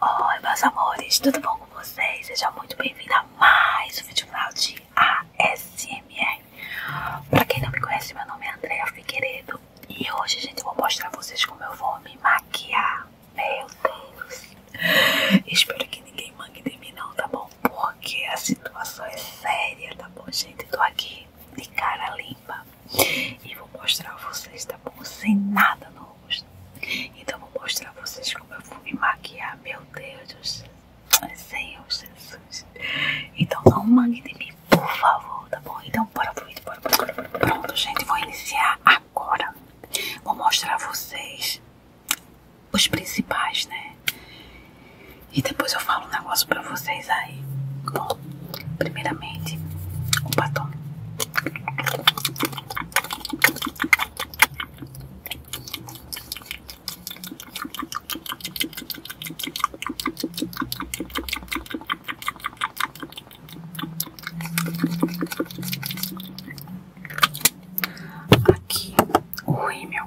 Oi, meus amores, tudo bom com vocês? Seja muito bem-vindo a mais um vídeo final de ASMR. Pra quem não me conhece, meu nome é Andréa Figueiredo e hoje, gente, eu vou mostrar a vocês como eu vou me maquiar. Meu Deus! Espero que ninguém mangue de mim não, tá bom? Porque a situação é séria, tá bom, gente? Tô aqui de cara limpa e vou mostrar a vocês, tá bom? Sem nada no rosto. Então vou mostrar a vocês como eu vou me maquiar, meu Deus do céu. Senhor Jesus. Então não mangue de mim, por favor, tá bom? Então bora pro vídeo, bora, bora, bora, Pronto, gente, vou iniciar agora. Vou mostrar a vocês os principais, né? E depois eu falo um negócio pra vocês aí. Bom, primeiramente, o batom. Aqui o rímel.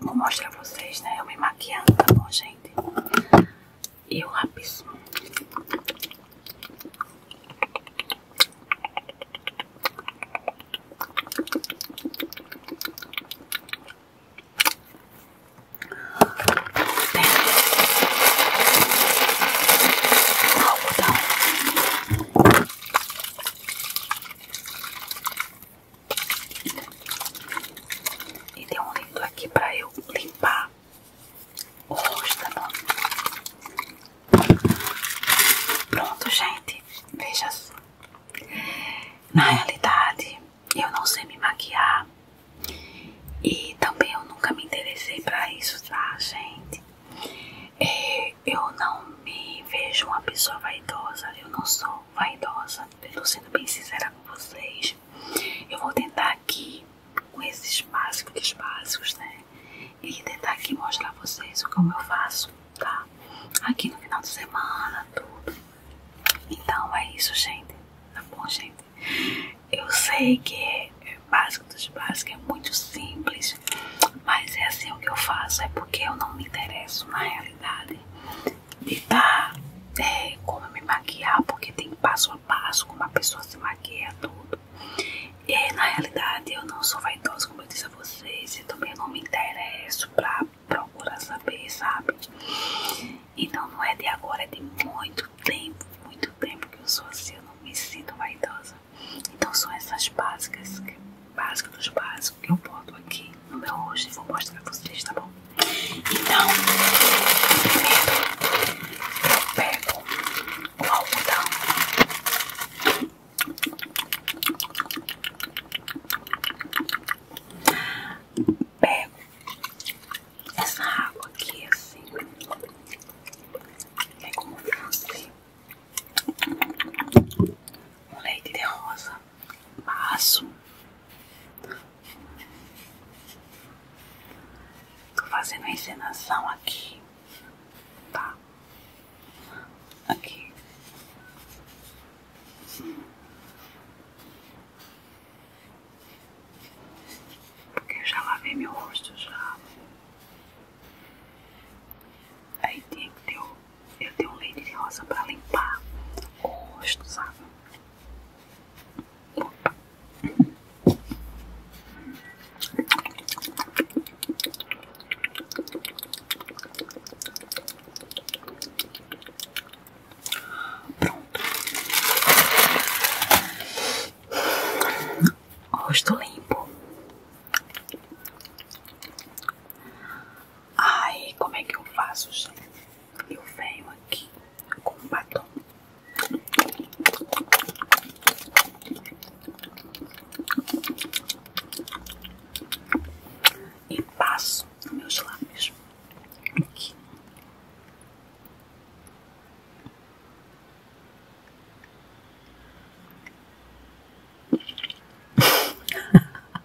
Vou mostrar pra vocês, né? Eu me maquiando, tá bom, gente? E o lápis. algodão. E tem um lindo aqui pra eu limpar o rosto, tá Pronto, gente. Veja só. Na realidade, eu não sei me maquiar. E também eu nunca me interessei pra isso, tá, gente? É, eu não me vejo uma pessoa vaidosa. Eu não sou vaidosa, estou sendo bem sincera com vocês. Eu vou tentar aqui, com esses básicos básicos, né? E tentar aqui mostrar a vocês o que eu faço, tá? Aqui no final de semana, tudo. Então é isso, gente. Tá bom, gente? Eu sei que é básico dos básicos, é muito simples, mas é assim o que eu faço, é porque eu não me interesso na realidade me dá é, como me maquiar, porque tem passo a passo como a pessoa se maquia, tudo. E na realidade eu não sou vaidosa, como eu disse a vocês, eu também não me interesso pra procurar saber, sabe? Então não é de agora, é de muito tempo, muito tempo que eu sou assim, eu não me sinto vaidosa. Então são essas básicas que básico dos básicos que eu boto aqui no meu hoje e vou mostrar pra vocês, tá bom? Então, eu pego o algodão. Pego essa água aqui assim, é como você um leite de rosa. Passo. Tô fazendo a encenação aqui. Tá? Aqui. Porque eu já lavei meu rosto já. Aí tem que ter o eu tenho um leite de rosa para limpar o rosto, sabe? Pronto. Rosto limpo. Ai, como é que eu faço, gente? Eu venho aqui com um batom. E passo nos meus lábios aqui.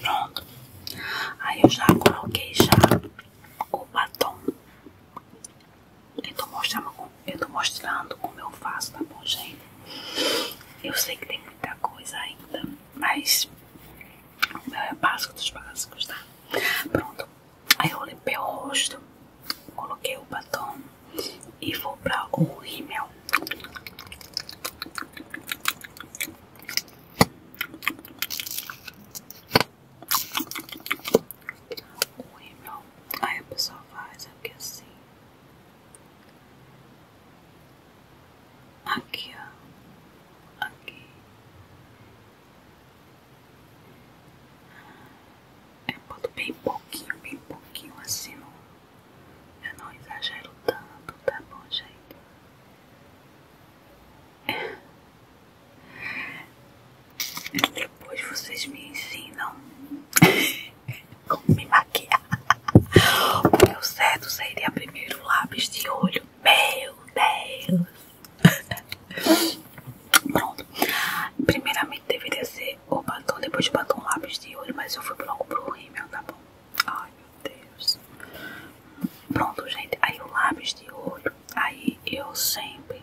Pronto. Aí eu já coloquei já o batom. Eu tô mostrando, eu tô mostrando como eu faço, tá bom, gente? Eu sei que tem muita coisa ainda, mas o meu é básico dos básicos, tá? Pronto. Aí eu limpei o rosto, coloquei o batom e vou pra o rímel. O rímel, aí a pessoa faz aqui é assim. Aqui, ó. Aqui. Eu boto bem pouquinho, bem pouquinho assim. Não. Eu não exagero tanto, tá bom, gente? Depois vocês me ensinam como me maquiar. O meu certo seria primeiro lápis de olho. Meu Deus! Pronto. Primeiramente deveria ser o batom, depois o batom lápis de olho, mas eu fui logo pro rímel, tá bom? Ai. Deus. Pronto, gente. Aí o lápis de olho. Aí eu sempre.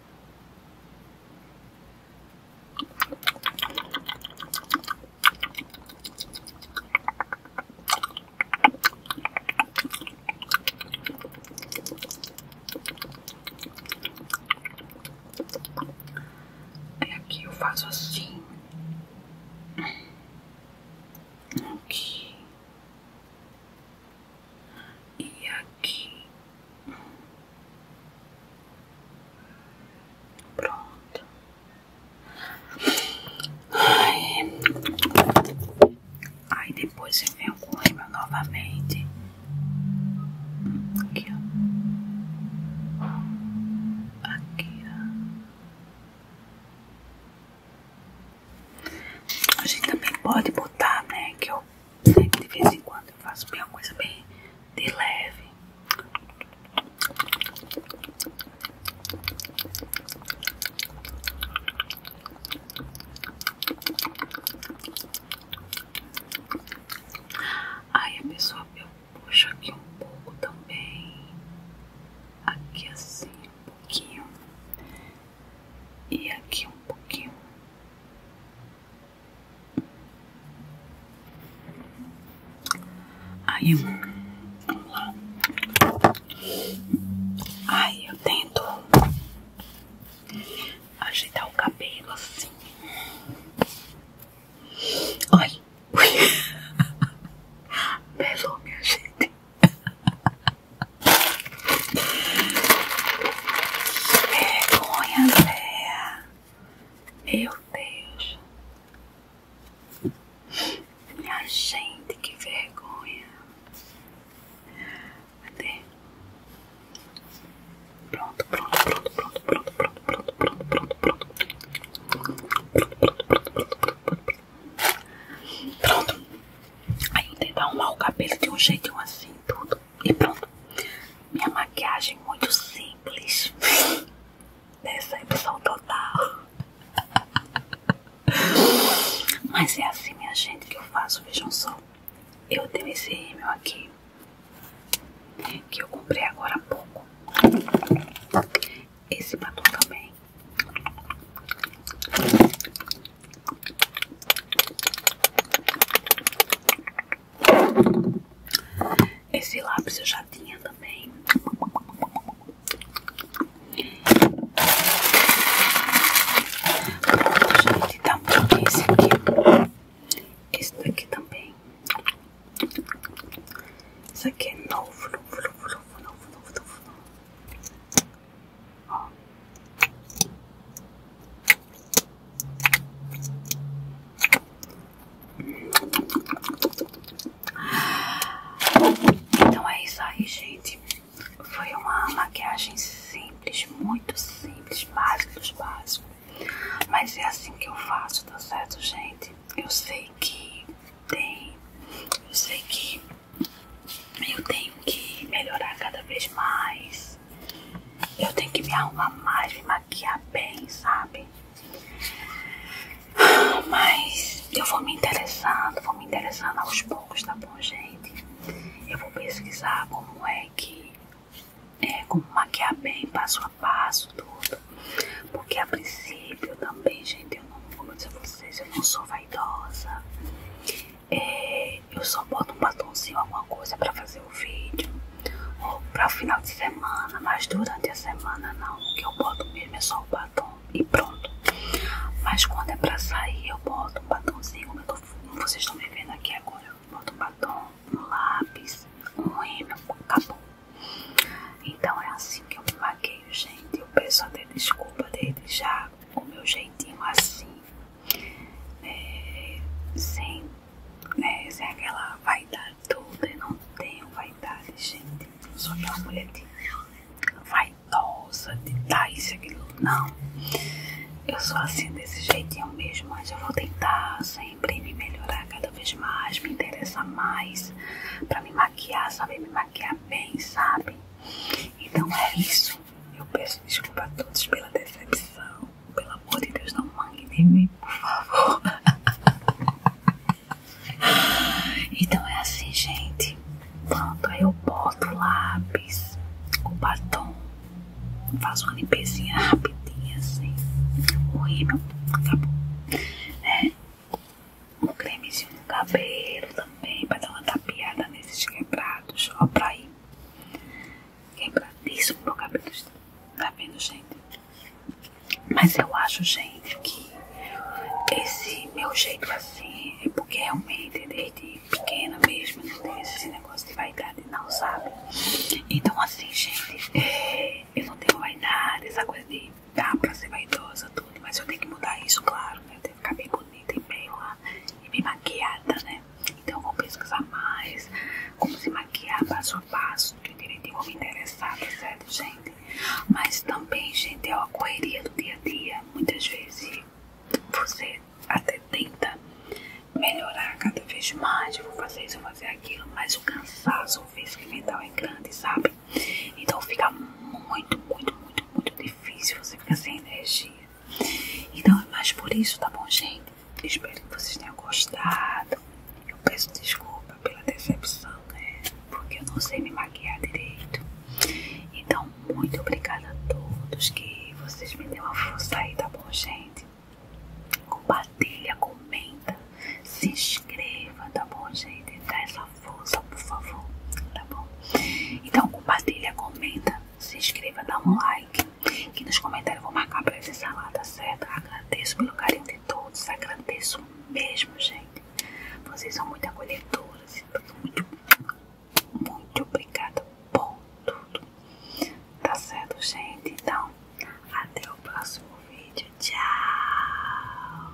Aí aqui eu faço assim e aqui pronto aí, é. aí depois eu venho com o novamente aqui aqui a gente também pode botar né que eu de vez em quando eu faço bem uma coisa bem de leve. Aí a pessoa eu puxo aqui um pouco também. Aqui assim um pouquinho. E aqui um pouquinho. Aí, vamos lá. Aí eu tento ajeitar o cabelo assim. Olha. Pesou, minha gente. Vergonha, Andréa. Meu Deus. Minha gente, que vergonha. Cadê? Pronto, pronto, pronto, pronto, pronto, pronto, pronto, pronto, pronto, pronto. Pronto. pronto pronto pronto pronto Aí eu tento arrumar o cabelo de um jeitinho assim, tudo. E pronto. Minha maquiagem muito simples. dessa edição total. Mas é assim, minha gente, que eu faço. Vejam só. Eu tenho esse rímel aqui. Que eu comprei agora há pouco. Esse batom também. Esse lápis eu já tinha também. Pronto, gente, tá muito esse aqui. Esse daqui também. Isso aqui é novo, novo, novo, novo, novo, novo. Então é isso aí, gente. Foi uma maquiagem simples, muito simples, básica, básicos. Mas é assim que eu faço, tá certo, gente? Eu sei que tem. Eu sei que eu tenho que melhorar cada vez mais. Eu tenho que me arrumar mais, me maquiar bem, sabe? Mas eu vou me interessando, vou me interessando aos poucos, tá bom, gente? Eu vou pesquisar como é que é como maquiar bem, passo a passo, tudo. Porque a princípio também, gente, eu não vou dizer a vocês, eu não sou vaidosa. É, eu só boto um batonzinho, alguma coisa para fazer o vídeo, ou para o final de semana, mas durante a semana não. O que eu boto mesmo é só o batom e pronto. Mas quando é para sair, eu boto um batonzinho, como, vocês estão me vendo aqui agora, eu boto um batom, um lápis, um rímel, acabou. Então é assim que eu me maqueio, gente. Eu peço até desculpa dele já o meu jeitinho assim. É, sem, né, sem aquela vaidade toda. Eu não tenho vaidade, gente. Eu sou aquela mulher de vaidosa, de dar isso aquilo. Não. Eu sou assim, desse jeitinho mesmo. Mas eu vou tentar sempre me melhorar cada vez mais, me interessar mais. Pra me maquiar, saber me maquiar bem, sabe? Então é isso. Eu peço desculpa a todos pela decepção. Pelo amor de Deus, não mangue em mim, por favor. Então é assim, gente. Pronto, aí eu boto o lápis, o batom, faz uma limpezinha rapidinha assim. O rímel, acabou. Né? Um cremezinho no cabelo também, pra dar uma tapeada nesses quebrados, ó, pra ir quebradíssimo é meu cabelo. Tá vendo, gente? Mas eu acho, gente, que esse meu jeito assim é porque realmente desde pequena mesmo não né, tem esse negócio de vaidade, não, sabe? Então, assim, gente, é, eu não tenho vaidade, essa coisa de dar ah, pra ser vaidosa, tudo, mas eu tenho que mudar isso, claro, né? Eu tenho que ficar bem bonita e bem lá e me maquiada, né? Então eu vou pesquisar mais como se maquiar passo a passo, que direitinho vou me interessar, tá certo, gente? Mas também, gente, é uma correria do dia a dia. Muitas vezes você até tenta melhorar cada vez mais, eu vou fazer isso, eu vou fazer aquilo, mas o cansaço, o vício mental é grande, sabe? Então fica muito, muito, muito, muito difícil, você fica sem energia. Então é mais por isso, tá bom, gente? Espero que vocês tenham gostado. Eu peço desculpa pela decepção, né? Porque eu não sei me maquiar direito. Então, muito obrigada a todos que vocês me deu uma força aí, tá bom, gente? Compartilha, comenta, se inscreva, tá bom, gente? Dá essa força, por favor, tá bom? Então, compartilha, comenta, se inscreva, dá um like e nos comentários eu vou marcar pra acessar lá, tá certo? Agradeço pelo carinho de todos, agradeço mesmo, gente. Vocês são muito acolhedoras, muito, muito obrigada por tudo. Tá certo, gente? Então, até o próximo vídeo. Tchau!